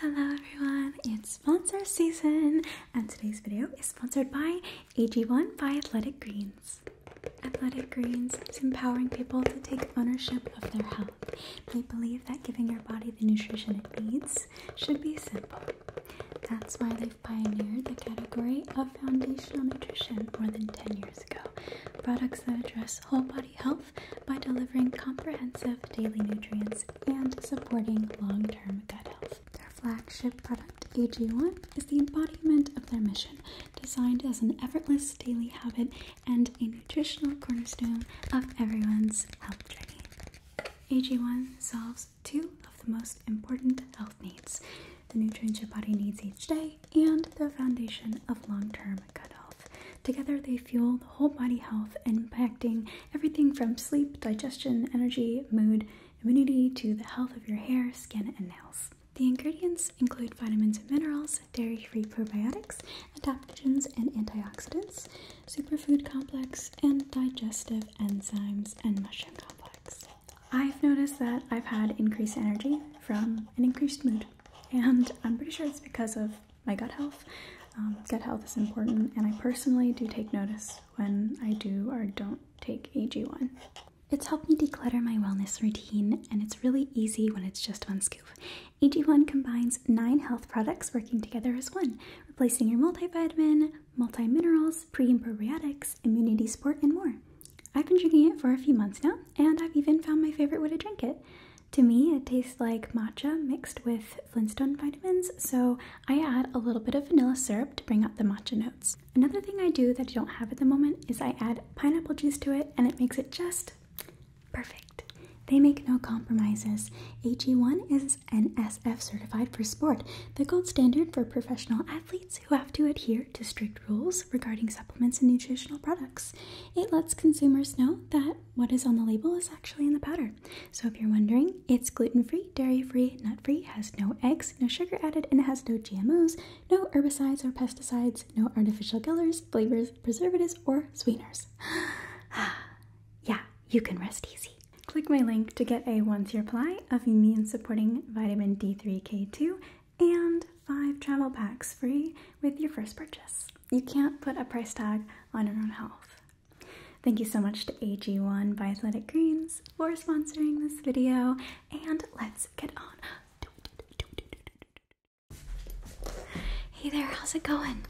Hello everyone, it's sponsor season and today's video is sponsored by AG1 by Athletic Greens. Athletic Greens is empowering people to take ownership of their health. They believe that giving your body the nutrition it needs should be simple. That's why they've pioneered the category of foundational nutrition more than 10 years ago. Products that address whole body health by delivering comprehensive daily nutrients and supporting long term gut health. Their flagship product, AG1, is the embodiment of their mission, designed as an effortless daily habit and a nutritional cornerstone of everyone's health journey. AG1 solves two of the most important health needs the nutrients your body needs each day and the foundation of long term gut health. Together, they fuel the whole body health, impacting everything from sleep, digestion, energy, mood, immunity to the health of your hair, skin, and nails. The ingredients include vitamins and minerals, dairy free probiotics, adaptogens and antioxidants, superfood complex, and digestive enzymes and mushroom complex. I've noticed that I've had increased energy from an increased mood, and I'm pretty sure it's because of my gut health. Um, gut health is important, and I personally do take notice when I do or don't take AG1. It's helped me declutter my wellness routine, and it's really easy when it's just one scoop. AG1 combines nine health products working together as one, replacing your multivitamin, multi minerals, pre and probiotics, immunity support, and more. I've been drinking it for a few months now, and I've even found my favorite way to drink it. To me, it tastes like matcha mixed with Flintstone vitamins, so I add a little bit of vanilla syrup to bring out the matcha notes. Another thing I do that I don't have at the moment is I add pineapple juice to it and it makes it just perfect. They make no compromises. AG1 is NSF certified for sport, the gold standard for professional athletes who have to adhere to strict rules regarding supplements and nutritional products. It lets consumers know that what is on the label is actually in the powder. So if you're wondering, it's gluten-free, dairy-free, nut-free, has no eggs, no sugar added, and it has no GMOs, no herbicides or pesticides, no artificial colors, flavors, preservatives, or sweeteners. yeah, you can rest easy. Click my link to get a one-year supply of immune-supporting vitamin D3K2 and five travel packs free with your first purchase. You can't put a price tag on your own health. Thank you so much to AG1 by Athletic Greens for sponsoring this video, and let's get on. Hey there, how's it going?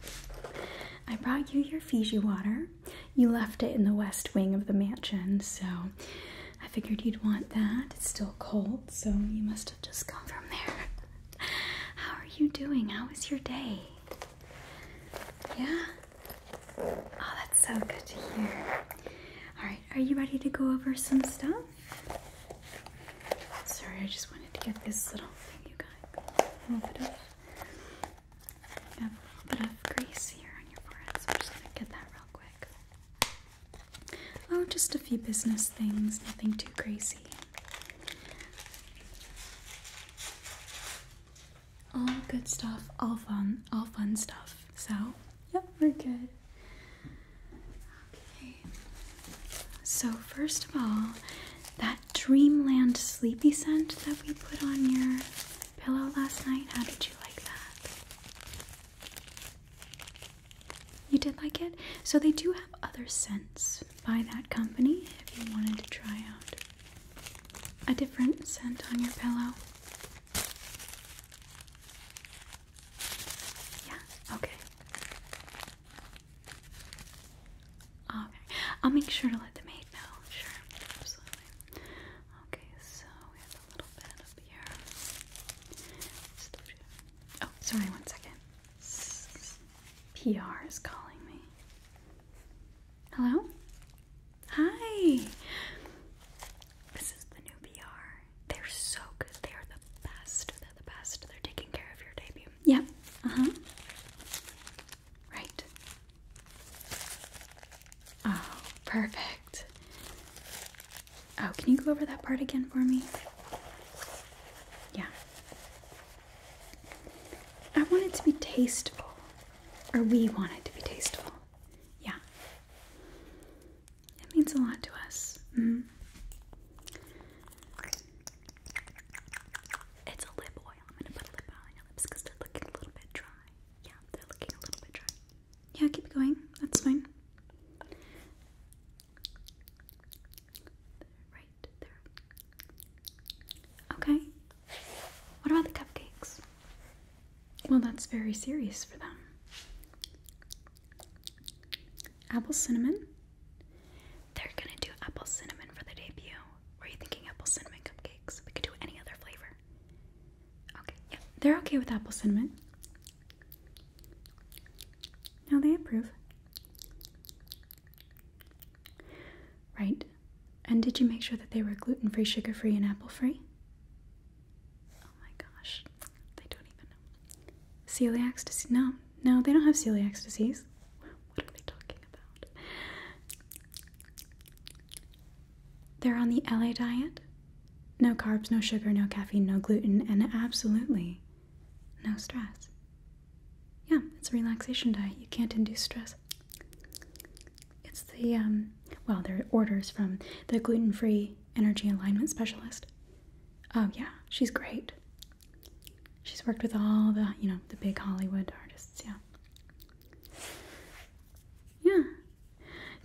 I brought you your Fiji water. You left it in the west wing of the mansion, so I figured you'd want that. It's still cold, so you must have just come from there. How are you doing? How was your day? Yeah? Oh, that's so good to hear. Alright, are you ready to go over some stuff? Sorry, I just wanted to get this little thing you got. A little bit of, grease here on your forehead, so I'm just going to get that real quick. Oh, just a few business things, nothing too crazy all good stuff, all fun, all fun stuff. So, yep, we're good. Okay. So, first of all, that dreamland sleepy scent that we put on your pillow last night, how did you like that? You did like it? So, they do have other scents by that company if you wanted to try out a different scent on your pillow? Yeah, okay. Okay, I'll make sure to let the maid know. Sure, absolutely. Okay, so we have a little bit up here. Oh, sorry, one second. PR is calling me. Hello? Hi! This is the new PR. They're so good. They are the best. They're the best. They're taking care of your debut. Yep. Uh huh. Right. Oh, perfect. Oh, can you go over that part again for me? Yeah. I want it to be tasteful. Or we want it to be tasteful. Yeah. It means a lot to us. Mm-hmm. It's a lip oil. I'm going to put a lip oil on your lips because they're looking a little bit dry. Yeah, they're looking a little bit dry. Yeah, keep going. That's fine. Right Okay. What about the cupcakes? Well, that's very serious for them. Apple cinnamon. They're gonna do apple cinnamon for the debut. Were you thinking apple cinnamon cupcakes? We could do any other flavor. Okay, yeah, they're okay with apple cinnamon. Now they approve. Right. And did you make sure that they were gluten free, sugar free, and apple free? Oh my gosh, they don't even know. Celiac disease? No, no, they don't have celiac disease. What are we talking about? They're on the LA diet? No carbs, no sugar, no caffeine, no gluten, and absolutely no stress. Yeah, it's a relaxation diet. You can't induce stress. It's the um, well, they're orders from the gluten-free energy alignment specialist. Oh yeah, she's great. She's worked with all the, you know, the big Hollywood artists, yeah. Yeah.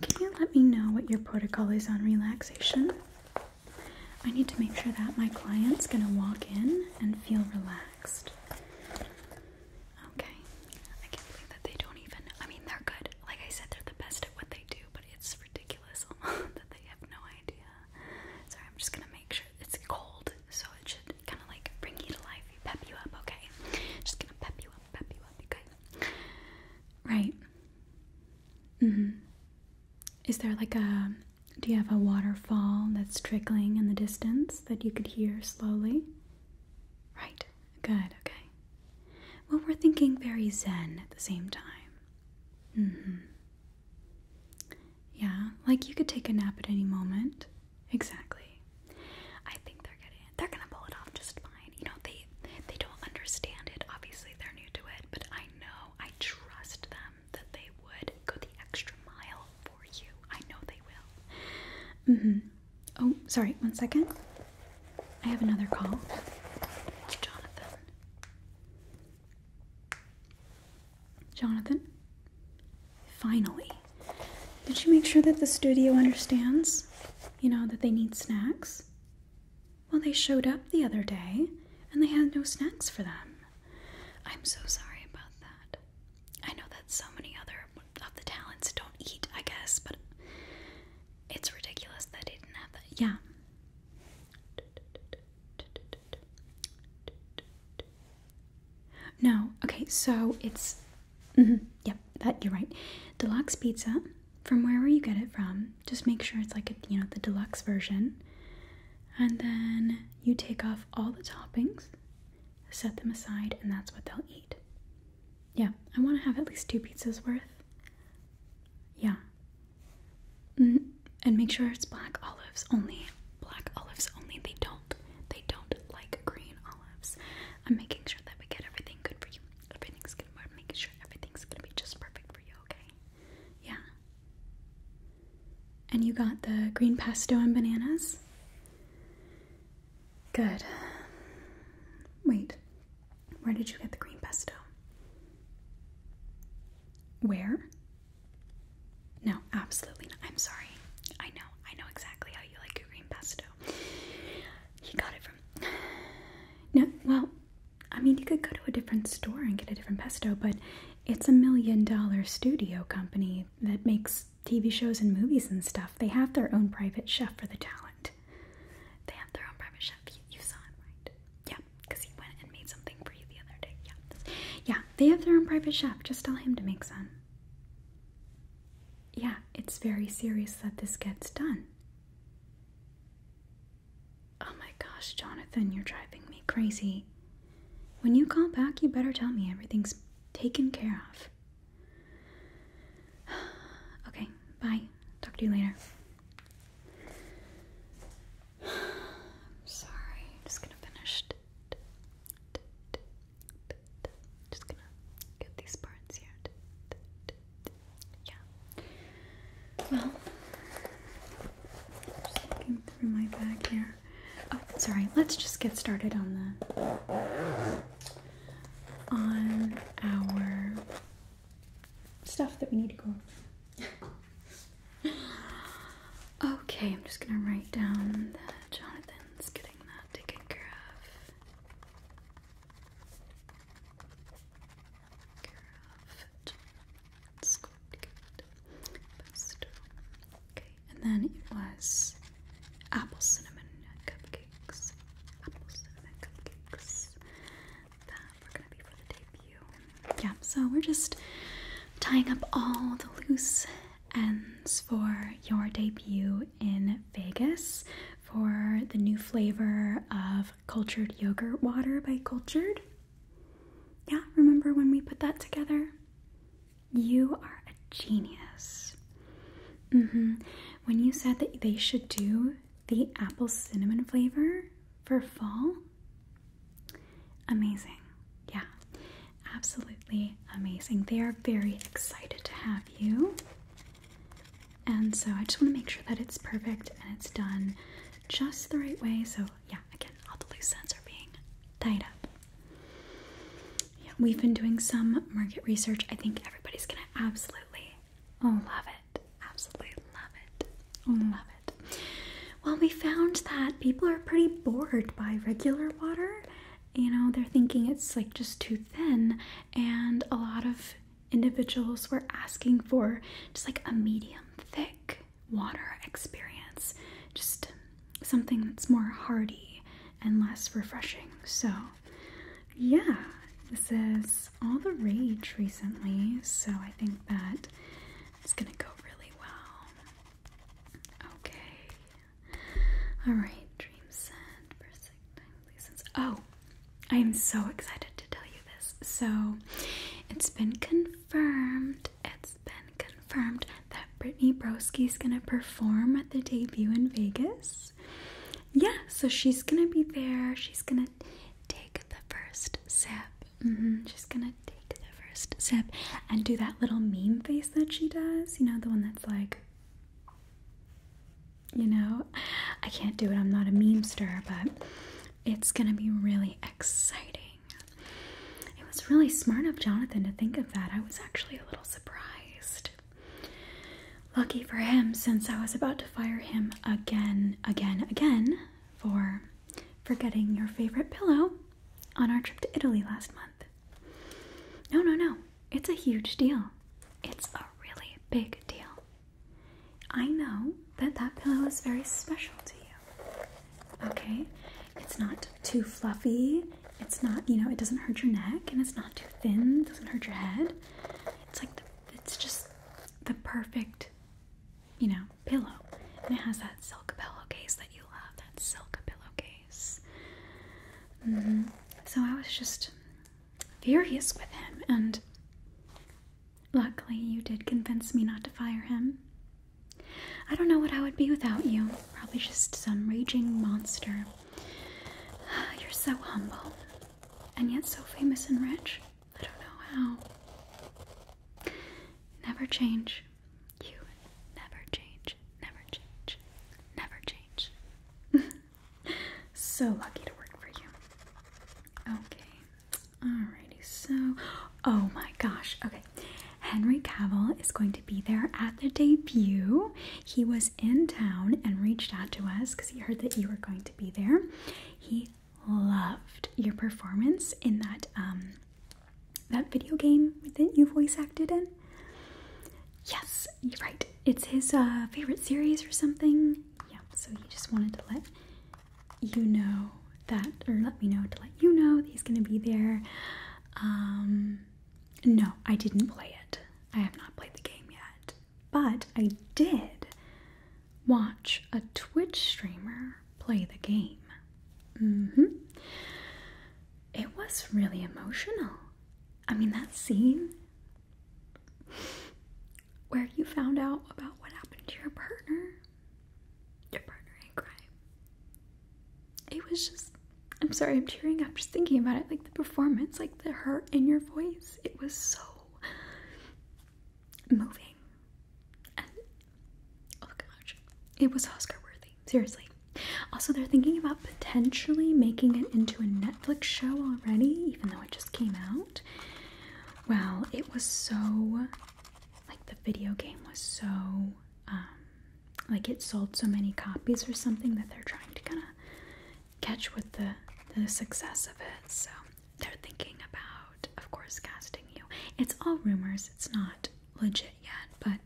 Can you let me know what your protocol is on relaxation? I need to make sure that my client's going to walk in and feel relaxed. Okay. I can't believe that they don't even. I mean, they're good. Like I said, they're the best at what they do, but it's ridiculous that they have no idea. Sorry, I'm just gonna make sure it's cold, so it should kind of like bring you to life, pep you up, okay? Just gonna pep you up, pep you up, okay? Right. Mm hmm. Is there like a. Do you have a waterfall that's trickling in the distance that you could hear slowly? Right, good, okay. Well, we're thinking very zen at the same time. Mm hmm. Yeah, like you could take a nap at any moment. Exactly. I think they're getting it. They're gonna pull it off just fine. You know, they they don't understand it. Obviously, they're new to it, but I know I trust them that they would go the extra mile for you. I know they will. Mm hmm. Oh, sorry, one second. I have another call. Jonathan. Jonathan? Finally. Did you make sure that the studio understands? You know, that they need snacks? Well, they showed up the other day and they had no snacks for them. I'm so sorry about that. I know that so many other of the talents don't eat, I guess, but it's ridiculous that he didn't have that. Yeah. No, okay, so it's. Mm yep, that you're right. Deluxe pizza, from wherever you get it from, just make sure it's like you know the deluxe version, and then you take off all the toppings, set them aside, and that's what they'll eat. Yeah, I want to have at least two pizzas worth. Yeah. Mm-hmm. And make sure it's black olives only. Black olives only. They don't. They don't like green olives. I'm making sure that we get everything good for you. Everything's good. We're making sure everything's gonna be just perfect for you. Okay. Yeah. And you got the green pesto and bananas. Good. Wait, where did you get the green pesto? Where? No, absolutely not. I'm sorry. I know. I know exactly how you like your green pesto. He got it from. No, well, I mean, you could go to a different store and get a different pesto, but it's a million dollar studio company that makes TV shows and movies and stuff, they have their own private chef for the talent. They have their own private chef. You, saw him, right? Yeah, because he went and made something for you the other day. Yeah, yeah, they have their own private chef. Just tell him to make some. Yeah, it's very serious that this gets done. Oh my gosh, Jonathan, you're driving me crazy. When you call back, you better tell me everything's taken care of. Okay, bye. Talk to you later. sorry. just gonna finish. Just gonna get these parts here. Yeah. Well, just looking through my bag here. Oh, sorry. Let's just get started on the on our stuff that we need to go okay, I'm just gonna write down that Jonathan's getting that taken care of. Okay, and then it was apple cinnamon cupcakes. Apple cinnamon cupcakes that were gonna be for the debut. Yeah, so we're just tying up all the loose ends for your debut in Vegas for the new flavor of cultured yogurt water by Cultured. Yeah, remember when we put that together? You are a genius. hmm When you said that they should do the apple cinnamon flavor for fall, amazing. Yeah, absolutely amazing. They are very excited to have you. And so I just want to make sure that it's perfect and it's done just the right way. So, yeah, again, all the loose ends are being tied up we've been doing some market research. I think everybody's gonna absolutely love it. Absolutely love it. Love it. Well, we found that people are pretty bored by regular water. You know, they're thinking it's like just too thin, and a lot of individuals were asking for just like a medium thick water experience. Just something that's more hearty and less refreshing. So, yeah, this is all the rage recently, so I think that it's gonna go really well. Okay. Alright, dream set, perfect license. Oh, I am so excited to tell you this. So, it's been confirmed. It's been confirmed that Brittany Broski's gonna perform at the debut in Vegas. Yeah, so she's gonna be there. She's gonna take the first sip. Mm-hmm. She's gonna take the first sip and do that little meme face that she does. You know, the one that's like, you know, I can't do it. I'm not a memester, but it's gonna be really exciting. It was really smart of Jonathan to think of that. I was actually a little surprised. Lucky for him, since I was about to fire him again, again, again for forgetting your favorite pillow on our trip to Italy last month. No, no, no. It's a huge deal. It's a really big deal. I know that that pillow is very special to you. Okay? It's not too fluffy, it's not, you know, it doesn't hurt your neck and it's not too thin, doesn't hurt your head. It's like it's just the perfect, you know, pillow. And it has that silk pillowcase that you love, that silk pillowcase. Mm-hmm. So I was just furious with him, and luckily you did convince me not to fire him. I don't know what I would be without you. Probably just some raging monster You're so humble and yet so famous and rich. I don't know how. Never change. You never change, never change, never change. so lucky to work for you. Okay, alrighty, so. Oh my gosh, okay. Henry Cavill is going to be there at the debut. He was in town and reached out to us because he heard that you were going to be there. He loved your performance in that um, that video game that you voice acted in. Yes, you're right. It's his uh, favorite series or something. Yeah, so he just wanted to let you know that, or let me know to let you know that he's going to be there. Um, no, I didn't play it. I have not played the game yet. But I did watch a Twitch streamer play the game. hmm. It was really emotional. I mean, that scene where you found out about what happened to your partner, your partner in crime. It was just I'm sorry, I'm tearing up just thinking about it. Like the performance, like the hurt in your voice, it was so moving. And oh gosh, it was Oscar worthy, seriously. Also, they're thinking about potentially making it into a Netflix show already, even though it just came out. Well, it was so like the video game was so um, like it sold so many copies or something that they're trying to kind of catch with the, the success of it. So they're thinking about, of course, casting you. It's all rumors, it's not legit yet, but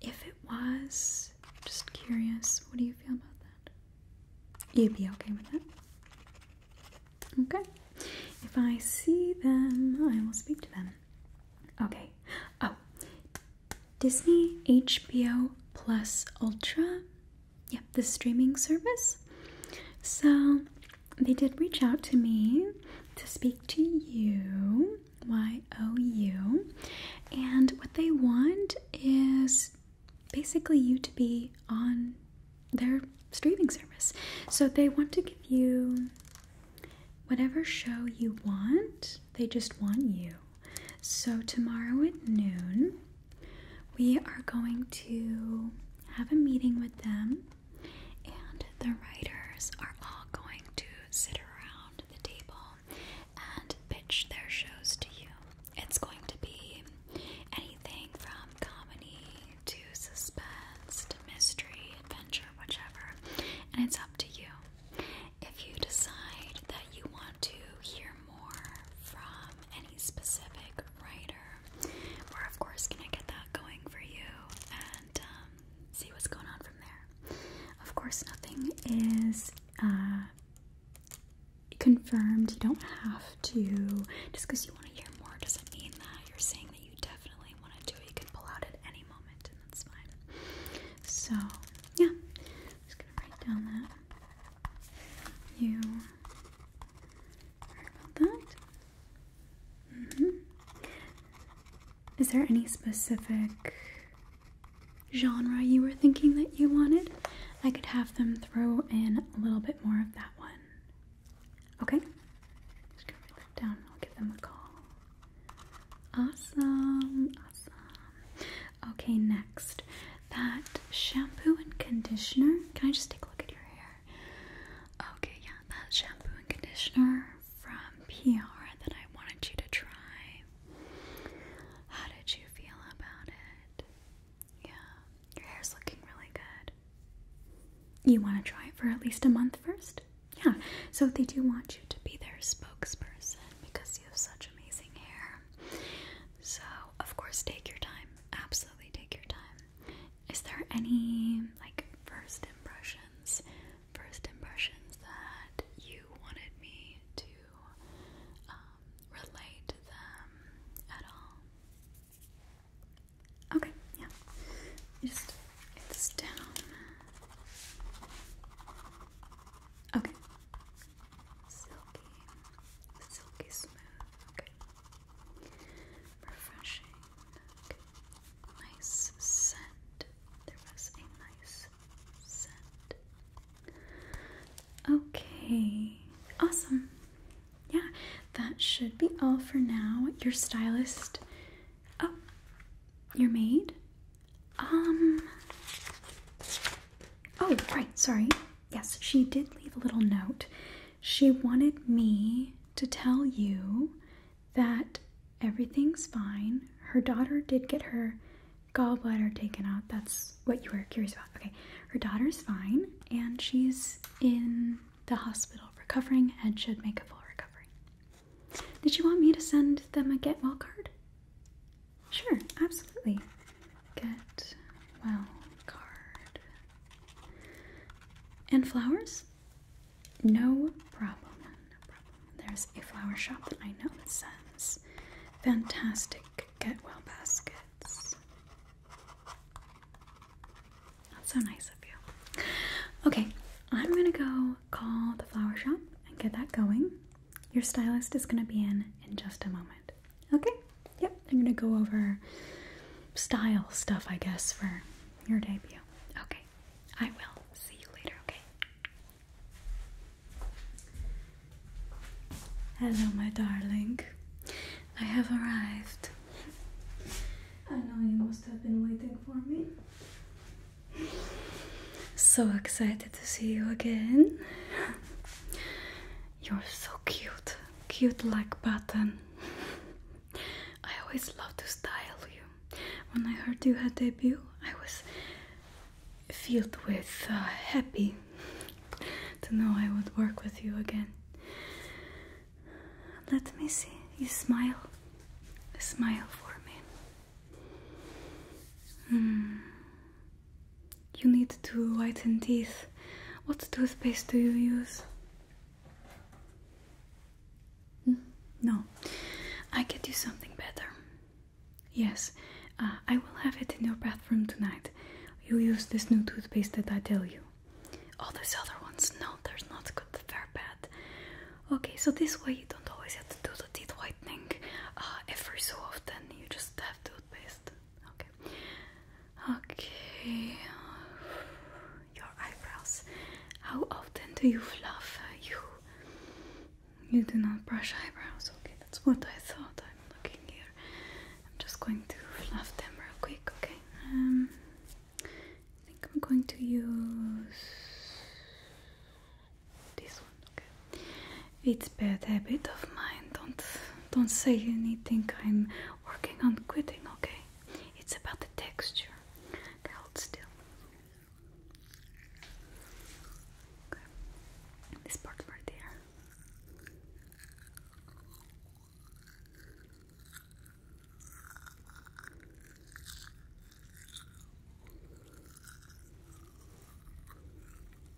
if it was, just curious, what do you feel about that? You'd be okay with that? Okay. If I see them, I will speak to them. Okay. Oh, Disney HBO Plus Ultra. Yep, the streaming service. So they did reach out to me to speak to you, Y O U, and what they want is basically you to be on their streaming service. So they want to give you whatever show you want they just want you. So, tomorrow at noon, we are going to have a meeting with them, and the writers are all going to sit around the table and pitch their shows to you. It's going to be anything from comedy to suspense to mystery, adventure, whichever, and it's up to you. If you decide that you want to hear more from any specific writer, we're of course gonna get that going for you and um, see what's going on from there. Of course, nothing is uh, confirmed. You don't have to. Just because you want to hear more doesn't mean that you're saying that you definitely want to do it. You can pull out at any moment, and that's fine. So, yeah, write down that you about that. Mm-hmm. Is there any specific genre you were thinking that you wanted? I could have them throw in a little bit more of that one. Okay? Just gonna write that down. I'll give them a call. Awesome. Awesome. Okay, next. That shampoo and conditioner. Can I just take a look at your hair? Okay, yeah, that shampoo and conditioner from PR that I wanted you to try. How did you feel about it? Yeah, your hair's looking really good. You want to try it for at least a month first? Yeah, so they do want you to be their spokesperson because you have such amazing hair. So, of course, take your time. Absolutely take your time. Is there any like first impressions? First impressions that you wanted me to um, relate them at all? Okay, yeah. Just it's down. Okay, silky, silky smooth, okay, refreshing, okay, nice scent, there was a nice scent, okay, awesome, yeah, that should be all for now, your stylist, oh, your maid, um, Oh, right, sorry. Yes, she did leave a little note. She wanted me to tell you that everything's fine. Her daughter did get her gallbladder taken out. That's what you were curious about. Okay, her daughter's fine and she's in the hospital recovering and should make a full recovery. Did she want me to send them a get well card? Sure, absolutely. Get well card. And flowers? No problem. No problem. There's a flower shop that I know that sends fantastic get well baskets. That's so nice of you. Okay, I'm gonna go call the flower shop and get that going. Your stylist is going to be in in just a moment. Okay? Yep, I'm going to go over style stuff, I guess, for your debut. Okay, I will. See you later, okay? Hello, my darling. I have arrived. I know you must have been waiting for me. So excited to see you again. You're so cute, cute like button. I always love to style you. When I heard you had debut, I was filled with uh, happy to know I would work with you again. Let me see. You smile. Smile for me. Mm. You need to whiten teeth. What toothpaste do you use? Hmm? No, I get do something better. Yes, uh, I will have it in your bathroom tonight. You use this new toothpaste that I tell you. All these other ones, no, they're not good, they're bad. Okay, so this way you don't always have to do the teeth whitening uh, every so often. You just have to Okay. Okay. Your eyebrows. How often do you fluff? You you do not brush eyebrows. Okay, that's what I thought. I'm looking here. I'm just going to fluff them real quick. Okay. Um. I think I'm going to use this it's bad habit of mine. Don't don't say anything. I'm working on quitting. Okay, it's about the texture. hold still. this part right there.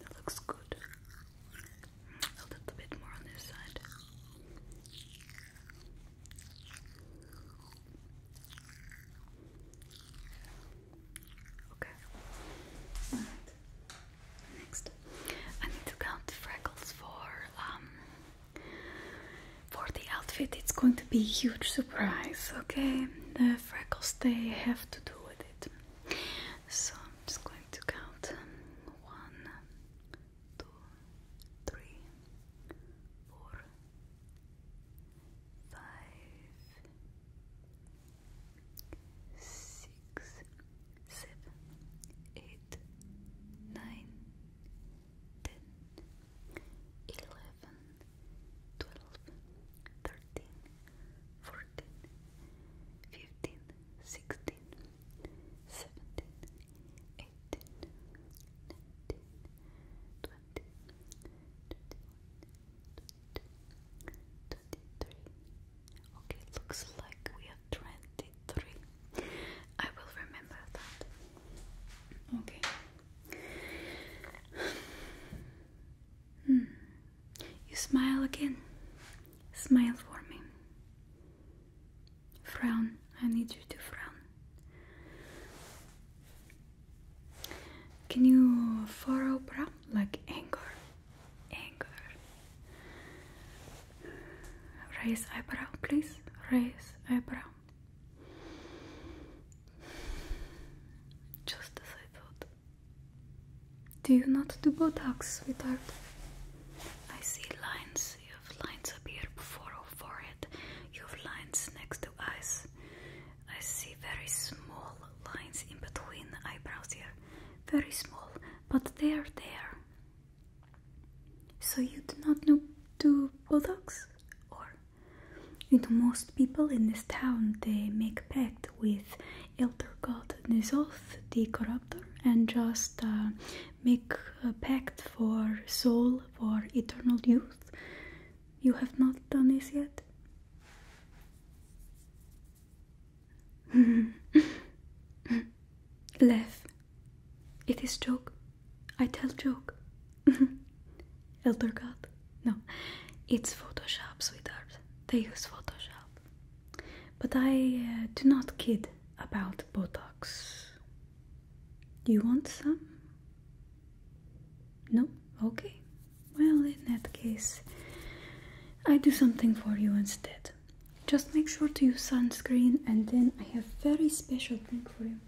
That looks good. A little bit more on this side. Okay. Next. I need to count freckles for um for the outfit. It's going to be a huge surprise, okay? The freckles they have to do with it. So I'm just going to count one, two, three, four, five, six, seven, eight, nine, ten, eleven, twelve, thirteen, fourteen, fifteen, sixteen, seventeen, eighteen, nineteen, twenty, twenty-one, 23. Okay, looks like we are 23. I will remember that. Okay. Hmm. You smile again. Smile for me. Frown. I need you to frown. Can you furrow brow like anger? Raise eyebrow, please. Raise eyebrow. Just as I thought. Do you not do Botox, sweetheart? I see lines. You have lines up here before your forehead. You have lines next to eyes. I see very small lines in between eyebrows here. Very small, but they are there. So you do not know to Botox? Or you know most people in this town they make pact with elder god Nizoth the corruptor and just uh, make pact for soul for eternal youth. You have not done this yet? Lev, It is joke. I tell joke. Elder God. No, it's Photoshop, sweetheart. They use Photoshop. But I uh, do not kid about Botox. Do You want some? No? Okay. Well, in that case, I do something for you instead. Just make sure to use sunscreen, and then I have a very special thing for you.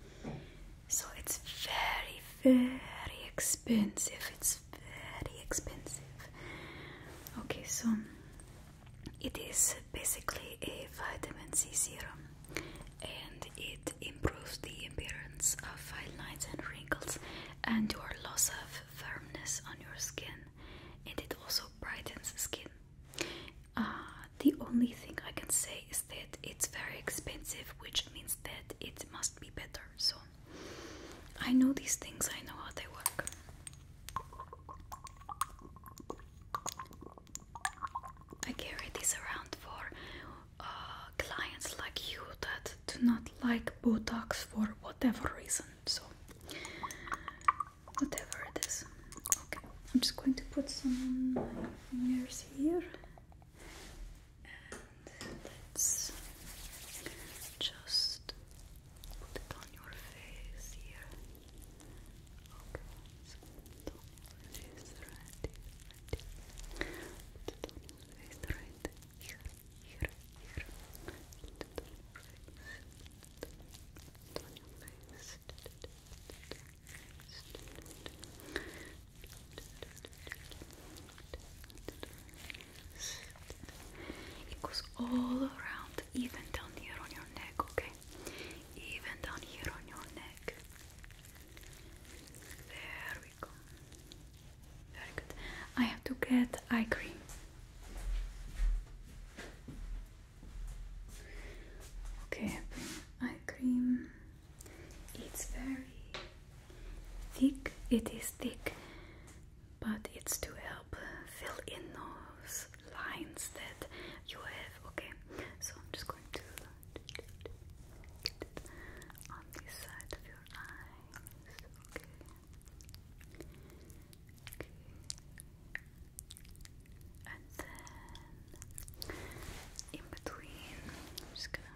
So it's very, very expensive. It's very expensive. Okay, so it is basically a vitamin C serum, and it improves the appearance of fine lines and wrinkles and your loss of firmness on your skin and it also brightens the skin. Uh, the only thing I can say is that it's very expensive, which means that it must be better. So I know these things, I know how they work. I carry this around for uh, clients like you that do not like Botox for whatever reason. So, whatever it is. Okay, I'm just going to put some fingers here. And let's just put it on your face here. Okay, so put right here here, It goes all around, even down here on your neck, okay? Even down here on your neck. There we go. Very good. I have to get eye cream. Okay, eye cream. It's very thick. It is thick, but it's to help fill in those lines that you have. Okay, so I'm just going to on this side of your eyes. Okay. Okay. And then in between, just gonna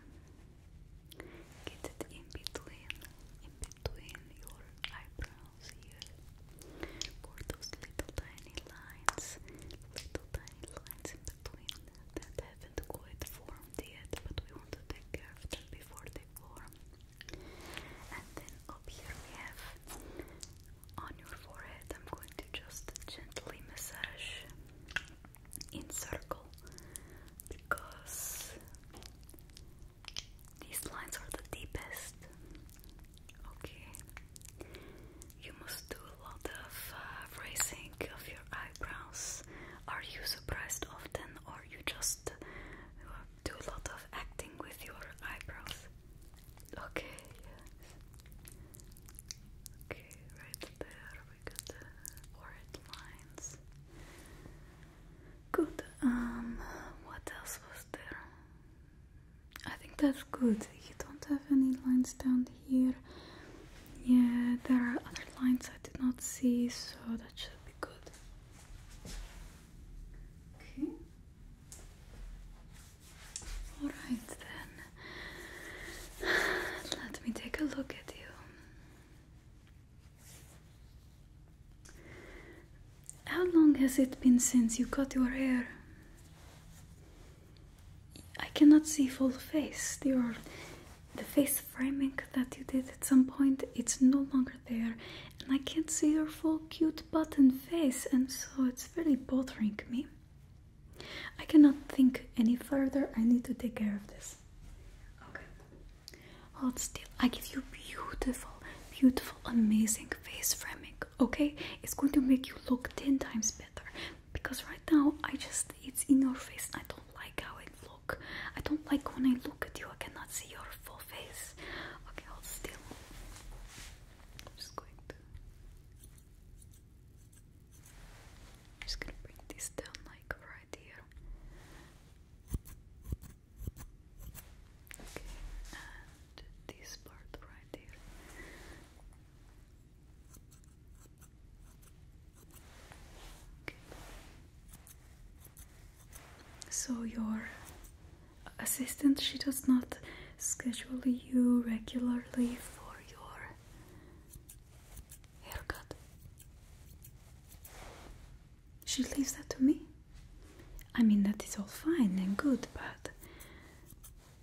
get it in between, in between your eyebrows here. For those little tiny lines, little tiny lines in between that haven't quite formed yet, but we want to take care of them before they form. And then up here we have on your forehead, I'm going to just gently massage in circle because these lines are the deepest. Okay, you must do a lot of uh, raising of your eyebrows. Are you surprised often, or you just uh, do a lot of acting with your eyebrows. Okay, Okay, right there we got the lines. Good. Um, what else was there? I think that's good. You don't have any lines down here. Yeah, there are other lines I did not see, so that should be good. Okay. All right then. Let me take a look at you. How long has it been since you cut your hair? I cannot see full face. Your the face framing that you did at some point, it's no longer there, and I can't see your full cute button face, and so it's really bothering me. I cannot think any further, I need to take care of this. Okay, hold still. I give you beautiful, beautiful, amazing face framing, okay? It's going to make you look 10 times better because right now I just, it's in your face, and I don't like how it looks. I don't like when I look at you, I cannot see your full face. Okay, hold still. I'm just going to. I'm just gonna bring this down like right here. Okay, and this part right here. Okay so your assistant she does not schedule you regularly for your haircut she leaves that to me i mean that is all fine and good but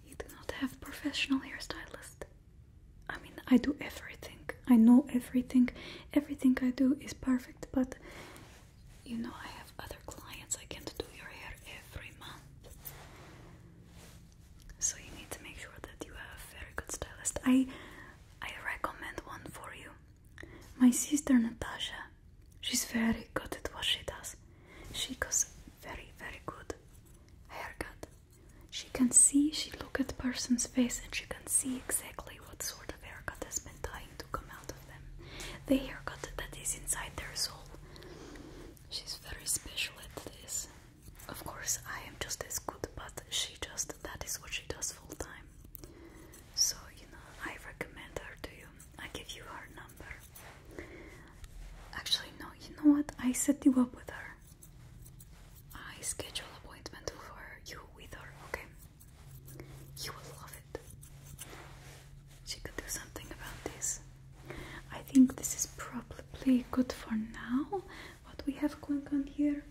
you do not have professional hair stylist. i mean i do everything i know everything everything i do is perfect but you know, I have other clients, I can do your hair every month. So you need to make sure that you have a very good stylist. I I recommend one for you. My sister Natasha, she's very good at what she does. She goes very, very good haircut. She can see, she look at person's face and she can see exactly what sort of haircut has been done to come out of them. The haircut that is inside their soul. She's very special at this. Of course, I am just as good, but she just, that is what she does full time. So, you know, I recommend her to you. I give you her number. Actually, no, you know what? I set you up with her. I schedule appointment for you with her, okay? You will love it. She could do something about this. I think this is probably good for now. What we have going on here.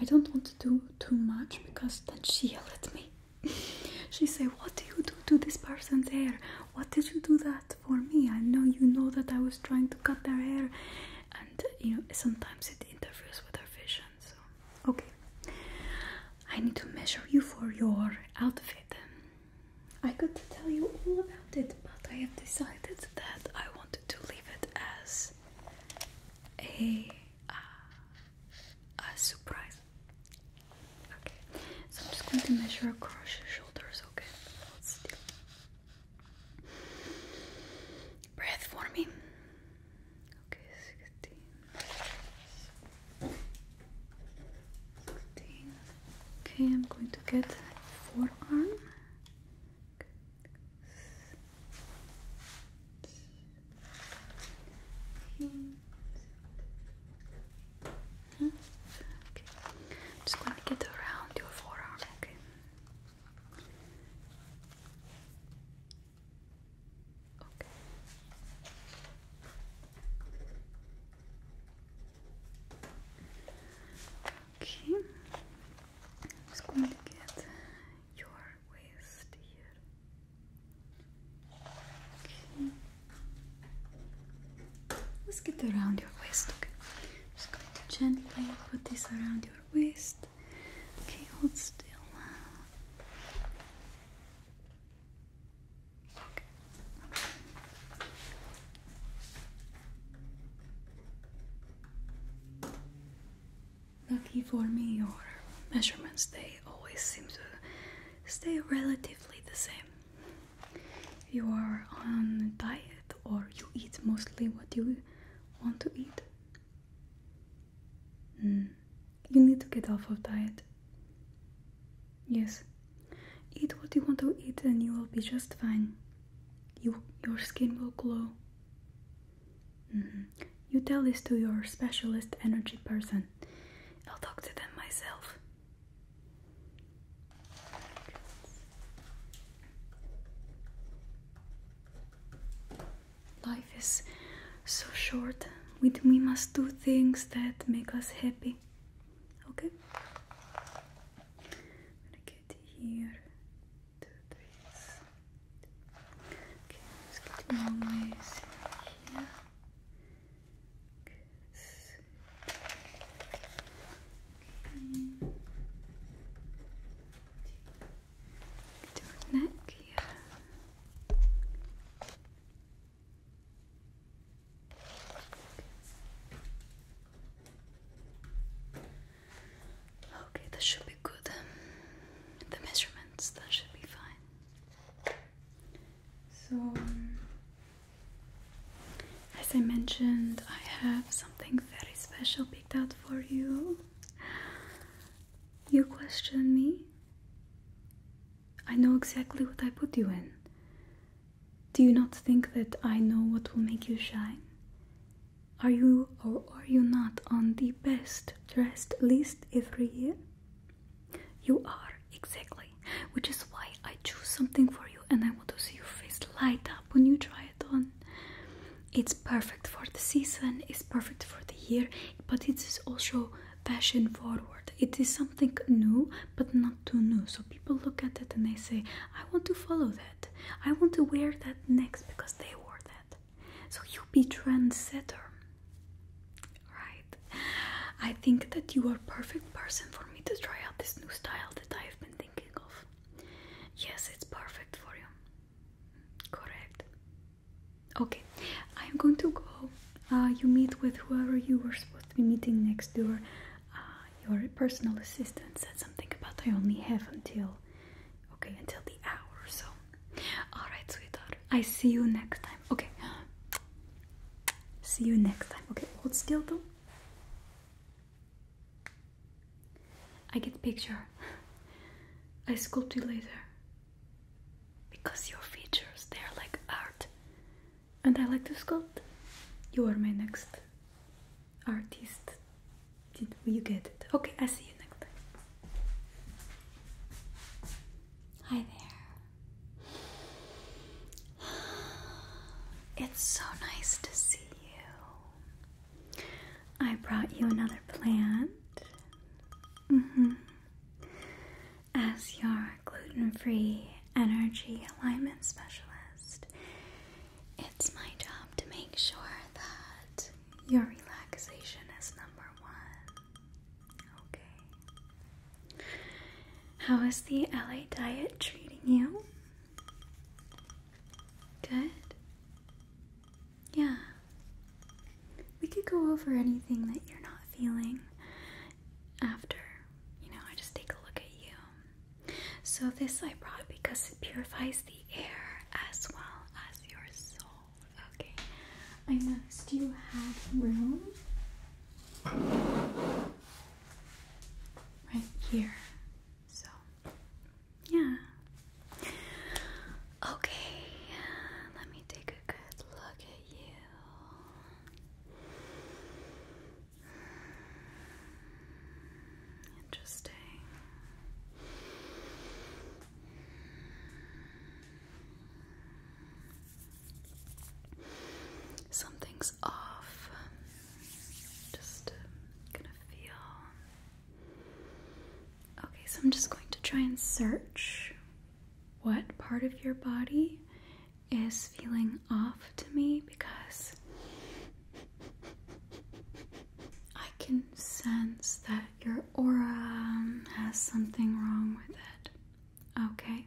I don't want to do too much because then she yelled at me. she said, What do you do to this person's hair? What did you do that for me? I know you know that I was trying to cut their hair. And you know, sometimes it interferes with her vision so okay I need to measure you for your outfit I could tell you all about it but I have decided that I wanted to leave it as a uh, a surprise okay so I'm just going to measure across your shoulders okay Hold still breath for me Okay, sixteen. Okay, I'm going to get forearm. Just going to get around your forearm, okay? Okay. Okay. I'm just going to get your waist here. Okay. Let's get around your waist. Okay. I'm just going to gently put this around your waist. Okay, hold still. Okay. Okay. Lucky for me, your measurements they always seem to stay relatively the same. You are on diet, or you eat mostly what you want to eat. Hmm. You need to get off of diet. Yes. Eat what you want to eat and you will be just fine. your skin will glow. Mm-hmm. You tell this to your specialist energy person. I'll talk to them myself. Life is so short. We, we must do things that make us happy. Okay? gonna get here. Two, three. Okay, let's get always here. Okay your neck Okay, that should be good. The measurements, that should be fine. So, um, as I mentioned, I have something very special picked out for you. You question me? I know exactly what I put you in. Do you not think that I know what will make you shine? Are you or are you not on the best dressed list every year? You are, exactly, which is why I chose something for you and I want to see your face light up when you try it on. It's perfect for the season, it's perfect for the year, but it is also fashion forward. It is something new, but not too new. So people look at it and they say, I want to follow that. I want to wear that next because they wore that. So you be trendsetter. Right. I think that you are perfect person for me to try out this new style that I have been thinking of. Yes, it's perfect for you. Correct. Okay, I'm going to go. Uh, you meet with whoever you were supposed to be meeting next door. Uh, your personal assistant said something about I only have until, okay, until the hour. so, all right, sweetheart. I see you next time. Okay, see you next time. Okay, hold still though. I get picture. I sculpt you later because your features they are like art and I like to sculpt. You are my next artist. Did you get it? Okay, I see you next time. Hi there. It's so nice to see you. I brought you another plant. Mm-hmm. As your gluten free energy alignment specialist, it's my job to make sure that your relaxation is number one. Okay. How is the LA diet treating you? Good? Yeah we could go over anything that you're not feeling after. You know, I just take a look at you. So, this I brought because it purifies the air as well as your soul. Okay, I noticed you had room right here. So, yeah. Okay, let me take a good look at you. Interesting. Something's off. Just uh, gonna feel. Okay, so I'm just going to try and search what part of your body is feeling off to me because I can sense that your aura has something wrong with it. Okay,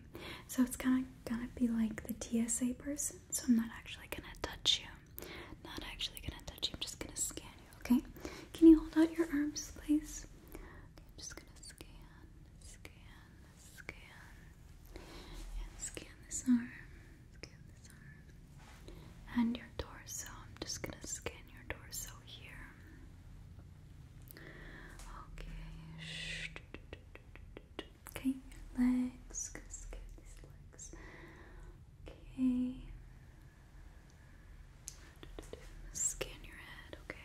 so it's kind of gonna be like the TSA person, so I'm not actually gonna touch you. Not actually gonna touch you, I'm just gonna scan you, okay? Can you hold out your arms, please? I'm just gonna scan, scan, scan, and scan this arm, scan this arm, and your torso. I'm just gonna scan your torso here. Okay, okay, your legs. going scan these legs. Okay. Okay. Scan your head, okay?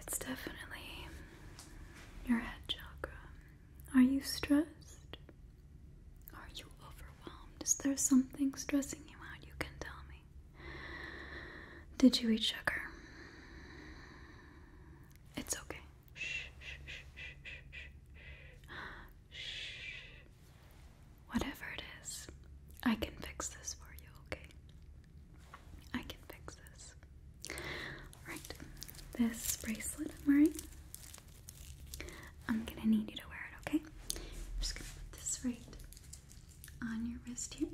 It's definitely your head chakra. Are you stressed? Are you overwhelmed? Is there something stressing you out? You can tell me. Did you eat sugar? It's okay. Shh, shh, shh, shh, shh, shh. Whatever it is, I can fix this for you, okay? I can fix this. Alright, this bracelet I'm wearing I'm gonna need you to wear it, okay? I'm just gonna put this right on your wrist here.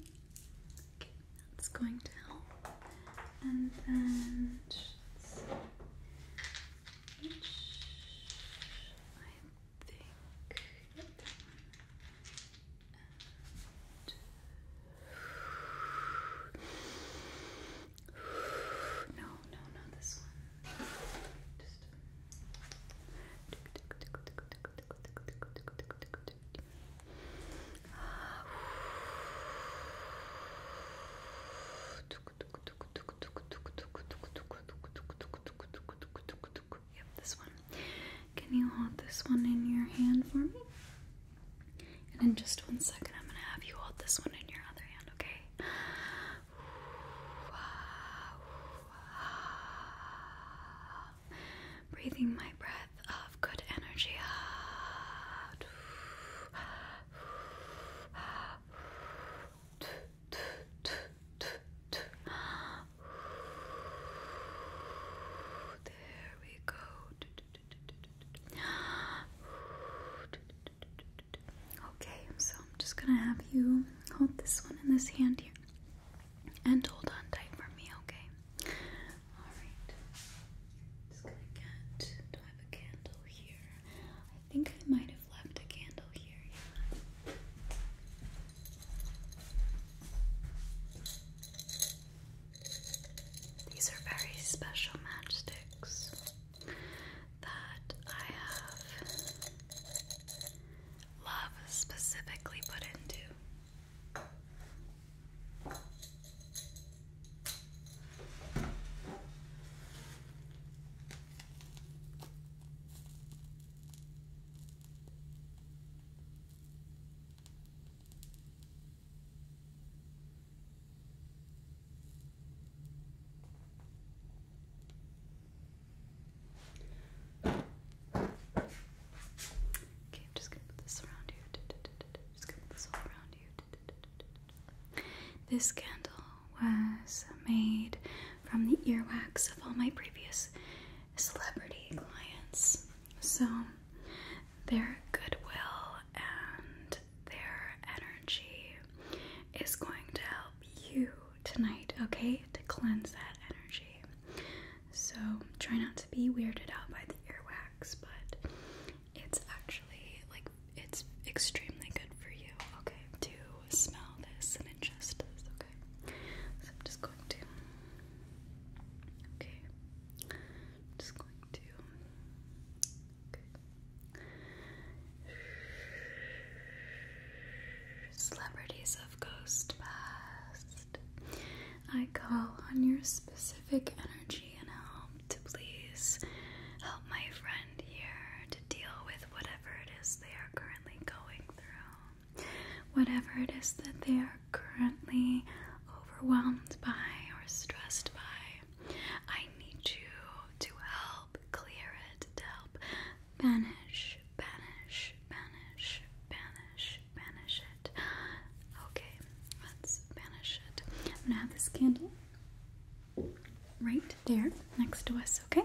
Okay, that's going to help. And then just each, I No, no, not this one. Just Yep, this one. Can you hold this one in your hand for me? And in just one second, I'm gonna have you hold this one in your other hand, okay? Breathing my breath of good energy out. There we go. Okay, so I'm just gonna have you hold this one in this hand here and hold on tight for me, okay? Alright. Just gonna get do I have a candle here? I think I might have left a candle here, These are very special matchsticks that I have love specifically put into. Okay, I'm just gonna put this around you. Just gonna put this all around you. This candle was made from the earwax of all my previous celebrity clients. So their goodwill and their energy is going to help you tonight, okay? To cleanse that energy. So try not to be weirded out by the earwax, but it's actually like it's extremely good for you, okay? To smell this and ingest this, okay? So I'm just going to, okay? just going to Celebrities of Ghost Past. I call on your specific energy and help to please help my friend here to deal with whatever it is they are currently going through, whatever it is that they are currently overwhelmed by or stressed by. I need you to help clear it, to help banish, banish, banish, banish, banish it. Okay, let's banish it. I'm gonna have this candle right there next to us, okay?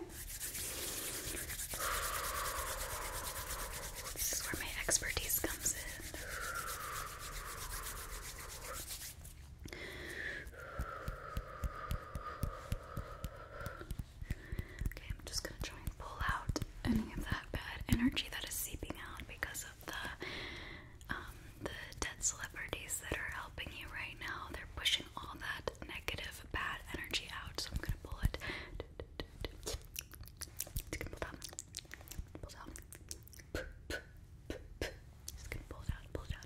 This is where my expertise comes in. Okay, I'm just gonna try and pull out any of that bad energy that is seeping out because of the um, the dead celebrities that are helping you right now. They're pushing all that negative bad energy out. So I'm gonna pull it. Just gonna pull it out. Pull it out.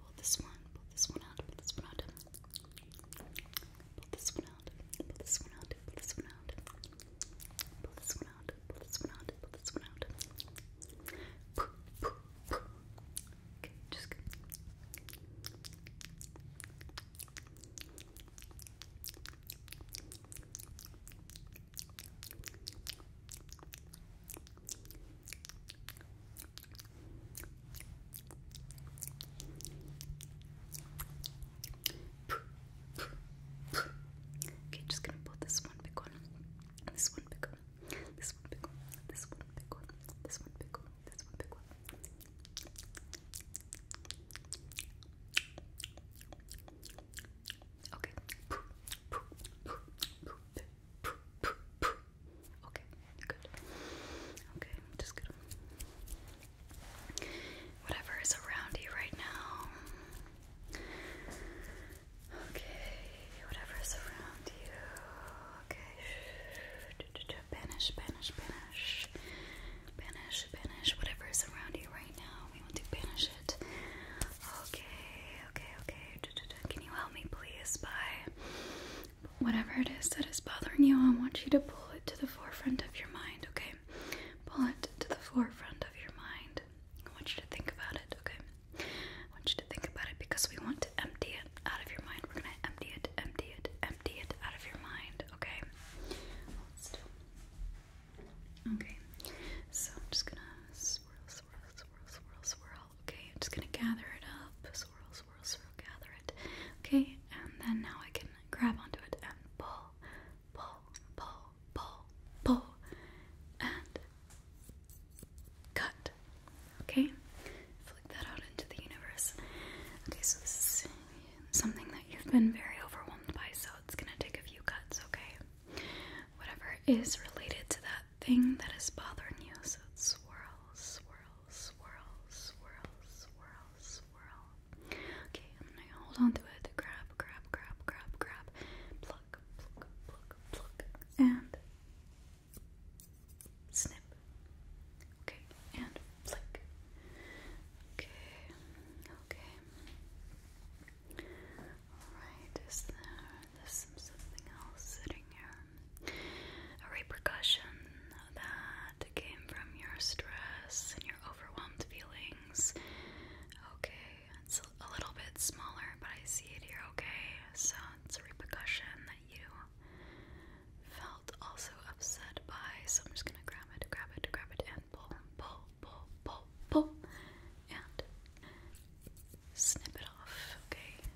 Pull this one, pull this one out, pull this one out. Pull this one out, pull this one out, pull this one out. Pull this one out, pull this one out, pull this one out. Pull, pull, pull. Okay, just go. Pull, Okay, just gonna put this one big one, this one big one, this one big one, this one big one, this one big one, Okay. Okay, good. Okay, just going whatever is around you right now. Okay, whatever is around you. Okay, banish, banish, banish, banish, banish. Whatever is around you right now, we want to banish it. Okay, okay, okay. Can you help me, please, Bye whatever it is that is bothering you, I want you to pull it to the forefront of your mind, okay? Pull it to the forefront of your mind. I want you to think about it, okay? I want you to think about it because we want to empty it out of your mind. We're gonna empty it, empty it, empty it out of your mind, okay? Okay, so I'm just gonna swirl, swirl, swirl, swirl, swirl okay? I'm just gonna gather it up, swirl, swirl, swirl, gather it, okay? And then now I can grab onto it and pull, pull, pull, pull, pull, and cut, okay? Flick that out into the universe. Okay, so this is something that you've been very overwhelmed by, so it's gonna take a few cuts, okay? Whatever is related to that thing that is bothering you, so it's swirl, swirl, swirl, swirl, swirl, swirl. Okay, I'm gonna hold on to it. Grab, grab, grab, grab, grab. Pluck, pluck, pluck, pluck. And snip. Okay, and flick. Okay, okay. Alright, is there's some, something else sitting here? a repercussion that came from your stress and your overwhelmed feelings. Okay, it's a little bit smaller, but I see it here, okay? So it's a repercussion that you felt also upset by. So I'm just gonna grab it, grab it, grab it, and pull, pull, pull, pull, pull, and snip it off, okay?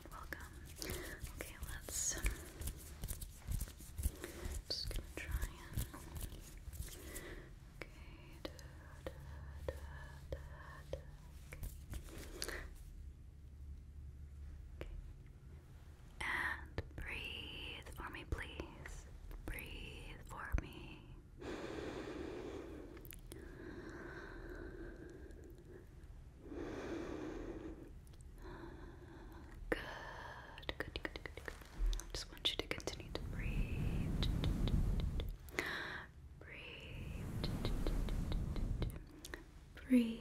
everyone, welcome. Okay, let's. Just gonna try and. Okay. Da, da, da, da, okay. And breathe for me, please. Breathe for me. Good, good, good, good, good. I just want you to continue to breathe. Breathe. Breathe.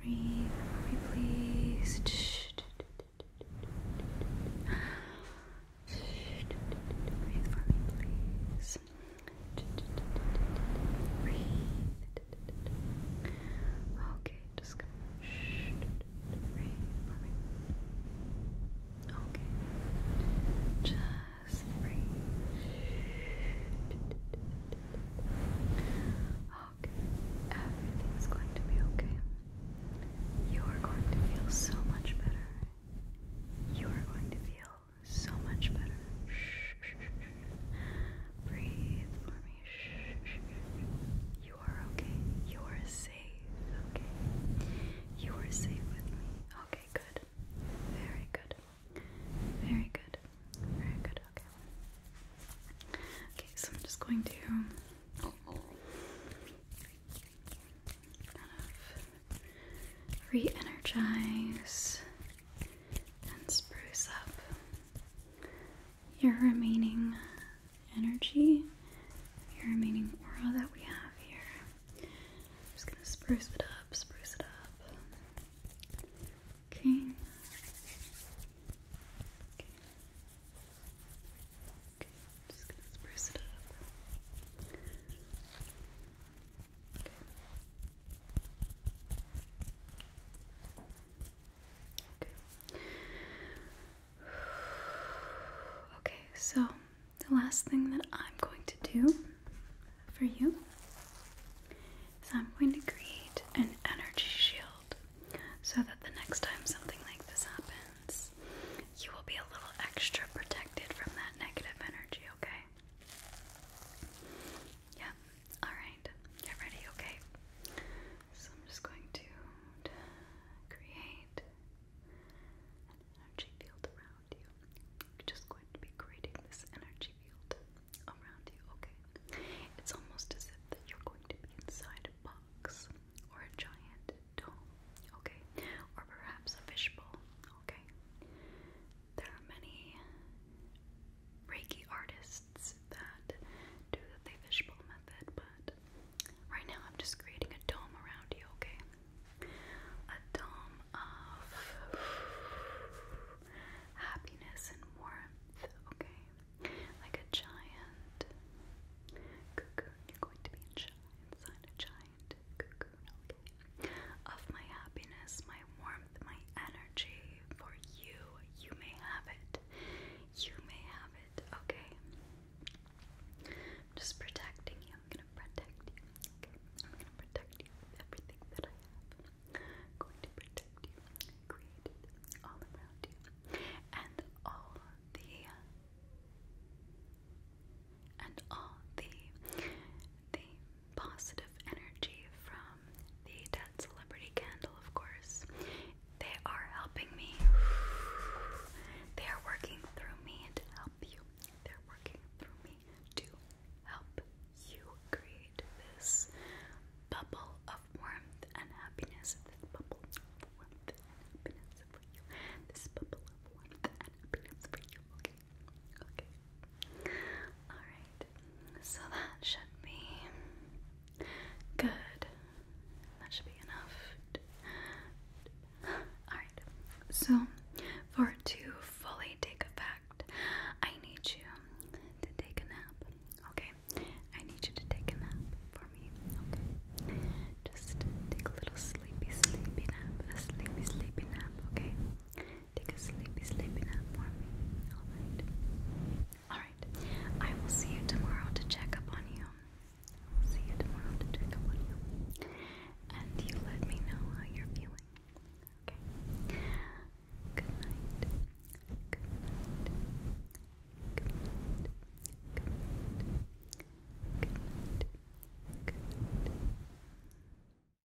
Breathe for me, please. Breathe for me, please. Okay, just come. Shh. Okay. Just breathe. Okay. Everything's going to be okay. You are going to feel so much better. You are going to feel so much better. Breathe for me. You are okay. You are safe. Okay. You are safe with me. Okay, good. Very good. Very good. Very good. Okay. Okay, so I'm just going to kind oh, of re energize, and spruce up your remaining energy, your remaining aura that we have here. just going to spruce it up, spruce it up. Okay. Okay. just gonna spruce it up. Okay. so the last thing that I'm going to do for you is I'm going to create an energy shield so that the next time something like this happens, you will be a little extra protected from that negative energy, okay? Yeah. All right. ready. Okay. So I'm just going to create an energy field around you. just going to be creating this energy field around you. Okay. It's almost as if that you're going to be inside a box or a giant dome. Okay. Or perhaps a fishbowl. Okay there are many Reiki artists that do the fishbowl method, but right now I'm just creating a dome around you, okay? A dome of happiness and warmth, okay? Like a giant cocoon. You're going to be inside a giant cocoon. Of my happiness, my warmth, my energy for you. You may have it. You may have it, okay? I'm just protecting you. I'm gonna protect you, I'm gonna protect you everything that I have. going to protect you. all around you. And all the and all the the positive energy from the Dead Celebrity Candle, of course. They are helping me. They are working through me to help you. They're working through me to help you create this bubble of warmth and happiness. This bubble of warmth and happiness for you. This bubble of warmth and happiness for you. Okay. Okay. Alright. So that should be good. That should be enough. Alright. So for it to fully take effect, I need you to take a nap. Okay? I need you to take a nap for me. Okay? Just take a little sleepy, sleepy nap. A sleepy, sleepy nap. Okay? Take a sleepy, sleepy nap for me. Alright. Alright. I will see you tomorrow to check up on you. I will see you tomorrow to check up on you. And you let me know how you're feeling. Okay? Good night. Good night. Good night. Good night. Good night. Good night.